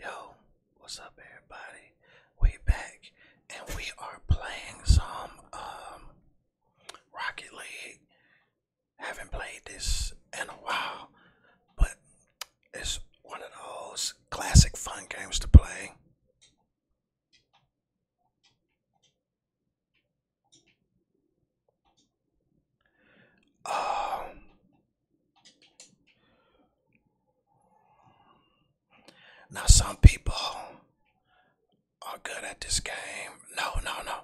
Yo, what's up everybody? We back and we are playing some um Rocket League. Haven't played this in a while, but it's one of those classic fun games to play. Um, now, some people are good at this game. No, no, no.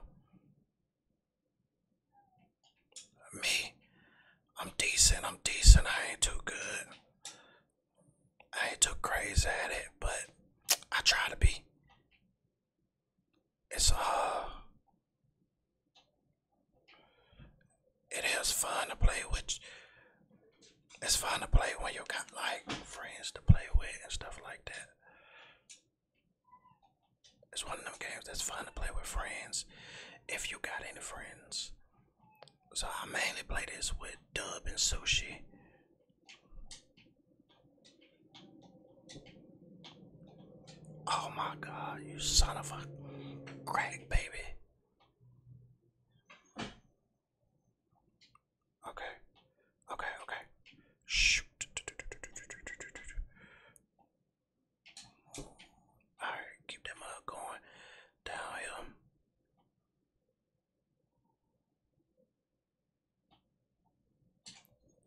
Me, I'm decent. I'm decent. I ain't too good. I ain't too crazy at it, but I try to be. It's uh it is fun to play with. It's fun to play when you got like friends to play with and stuff like that. It's one of them games that's fun to play with friends if you got any friends. So I mainly play this with Dub and Sushi. Oh my god, you son of a crack baby. Okay. Okay, okay. Shoot. Alright, keep that mug going down here.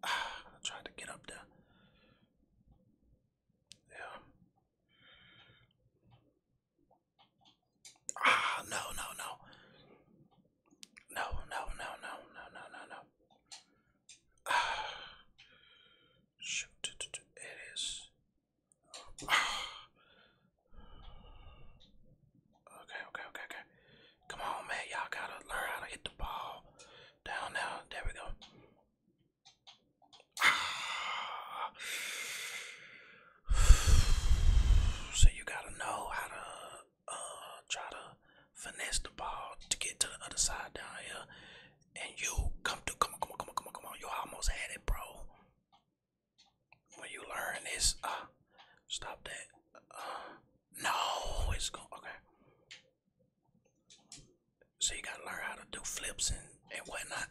Ah, I to get up there. Yeah. Ah, no, no, no. No, no, no, no, no, no, no, no. Ah. Shoot, it is. Ah. Okay, okay, okay, okay. Come on, man. Y'all gotta learn how to hit the ball. Down now. There we go. So you gotta know how to uh, try to finesse the ball to get to the other side down here. And you come to come on, come on, come on, come on, come on. You almost had it, bro. When you learn this, uh, stop that. Uh, no, it's going okay. So you gotta learn how to do flips and, and whatnot.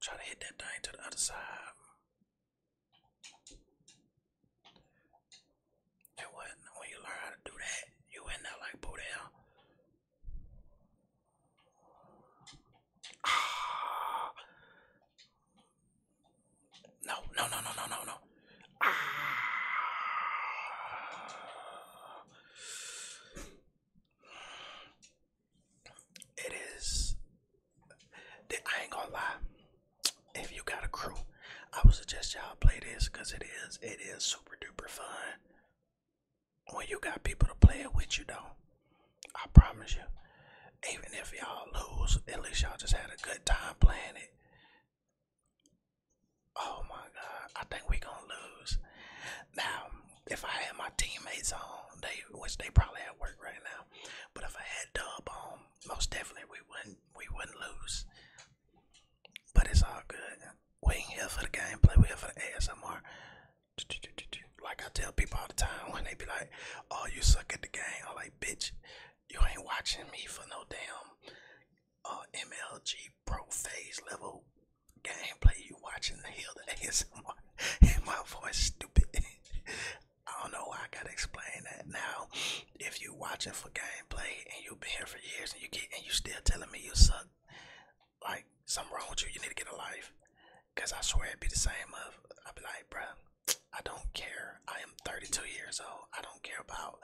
Try to hit that thing to the other side. And what when you learn how to do that, you in there like boo down. Ah. no, no, no, no, no, no. Ah. It is. I ain't gonna lie. If you got a crew, I would suggest y'all play this because it is it is super duper fun. When you got people to play it with you, though, I promise you. Even if y'all lose, at least y'all just had a good time playing it. Oh my God, I think we're gonna lose. Now, if I had my teammates on, they wish they probably at work right now, but if I had Dub on, most definitely we wouldn't we wouldn't lose. But it's all good. We ain't here for the gameplay. We here for the ASMR. Like I tell people all the time when they be like, "Oh, you suck at the game," I'm like, "Bitch, you ain't watching me for no damn." Uh, MLG pro phase level gameplay you watching the hill that ASMR and my voice stupid. I don't know why I gotta explain that now. If you watching for gameplay and you've been here for years and you get and you still telling me you suck, like something wrong with you, you need to get a life. Cause I swear it'd be the same of I'd be like, bro, I don't care. I am 32 years old. I don't care about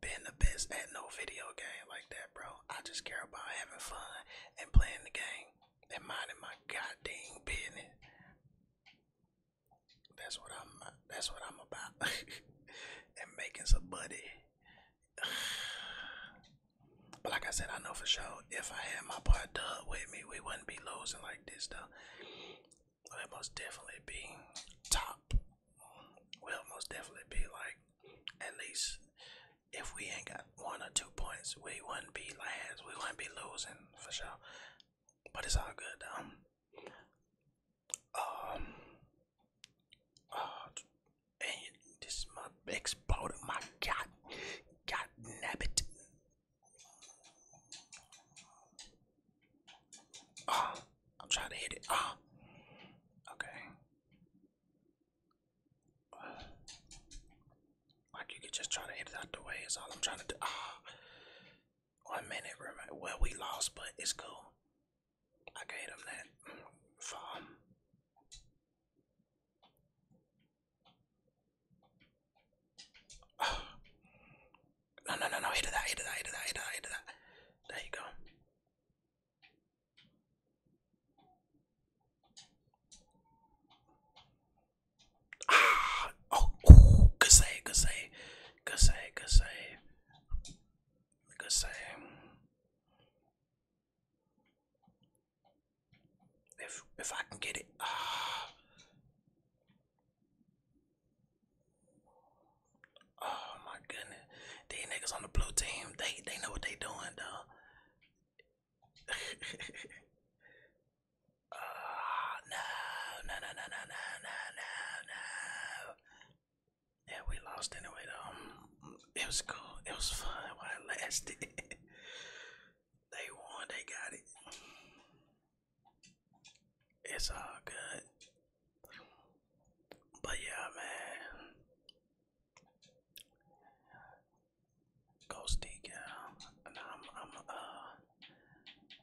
being the best at no video game. Like bro. I just care about having fun and playing the game and minding my goddamn business. That's what I'm. That's what I'm about. and making some money. but like I said, I know for sure if I had my part done with me, we wouldn't be losing like this, though. We'll most definitely be top. We'll most definitely be like at least if we ain't got one or two points, we wouldn't be last. We wouldn't be losing for sure. But it's all good. Um. Um. Uh, and this my exploded. My God, God nabbit. Oh, uh, I'm trying to hit it. Oh. Okay. Like you could just try to hit it out the way is all I'm trying to do. Oh, one minute, Well, we lost, but it's cool. I gave him that farm. Ah. No, no, no, no, hit it out, hit it out, hit it out, hit it out, hit it out. There you go. Ah, oh, oh, good save, good save, good save, good save, good save. If if I can get it, ah. Oh my goodness. These niggas on the blue team, they they know what they are doing though. oh, ah, no, no, no, no, no, no, no, no, Yeah, we lost anyway though. It was cool. It was fun while it lasted. they won, they got it. It's all good. But yeah, man. Ghosty Deacon. I'm, I'm, uh,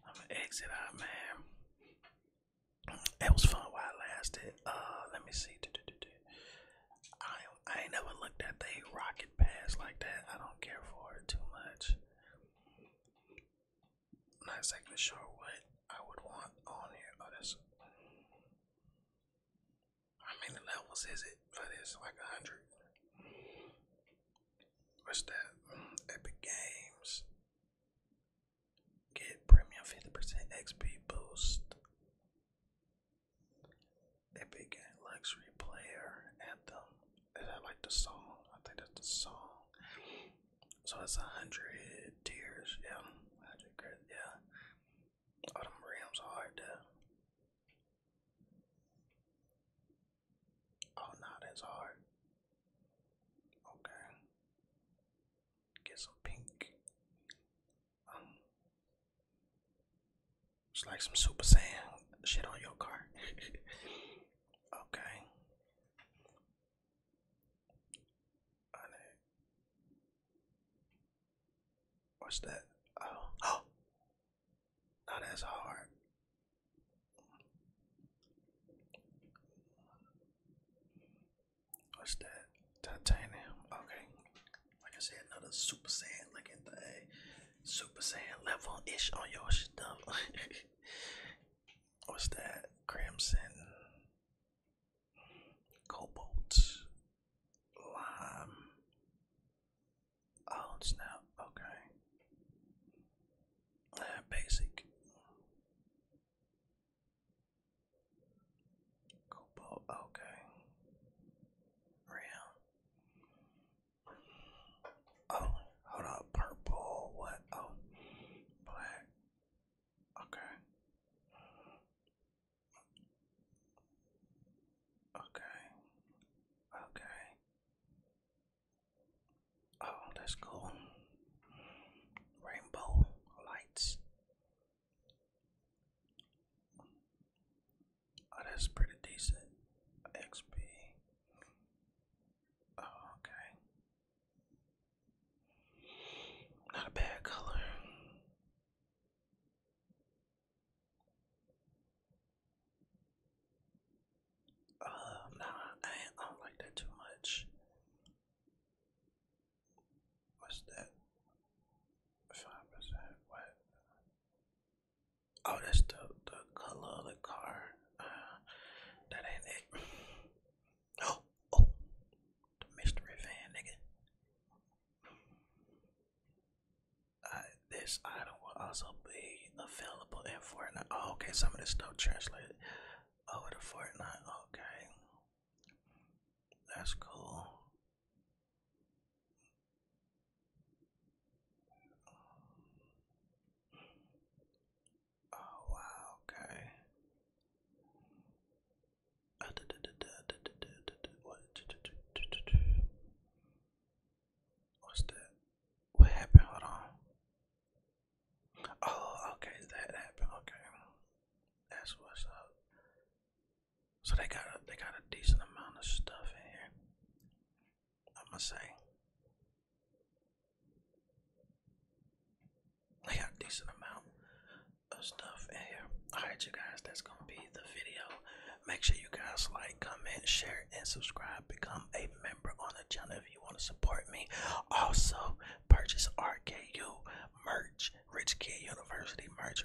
I'm gonna exit out, man. It was fun while it lasted. Uh, let me see. I I ain't never looked at the rocket pass like that. I don't care for it too much. Not exactly sure what I would want on here. Oh, that's how many levels is it for this? Like a hundred. What's that? Epic Games. Get premium 50% XP boost. Epic Games Luxury Player Anthem. Is that like the song? I think that's the song. So it's a hundred tiers, yeah. Hundred yeah. Oh, them rims hard though. Oh, no, that's hard. Okay. Get some pink. Um, it's like some Super Saiyan shit on your car. okay. I know. What's that? Oh, oh. Now that's hard. What's that? Titanium. Okay. Like I said, another Super Saiyan looking thing. Super Saiyan level ish on your stuff. What's that? Crimson cobalt, lime. Oh snap! Okay, uh, basic. Cobalt. Okay, round. Oh, hold up. Purple. What? Oh, black. Okay. Okay. Okay. Oh, that's cool. Rainbow lights. Oh, that's pretty decent. XP. Oh, okay. Not a bad color. Uh, nah, I, don't like that too much. What's that? Five percent. What? Oh, that's the color of the car. Uh, that ain't it. Oh, oh, the mystery van, nigga. Uh, this item will also be available in Fortnite. Oh, okay, some of this stuff translated over the Fortnite. Okay, that's cool. Oh wow, okay. What's What happened? Hold on. Oh, okay, that happened. Okay, that's what's up. So they got they got a decent amount of stuff in here. i am say. I got a decent amount of stuff here. Alright, you guys, that's gonna be the video. Make sure you guys like, comment, share, and subscribe. Become a member on the channel if you want to support me. Also, purchase RKU merch, Rich Kid University merch,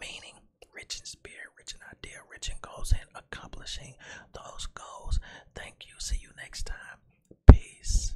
meaning rich in spirit, rich in idea, rich in goals, and accomplishing those goals. Thank you. See you next time. Peace.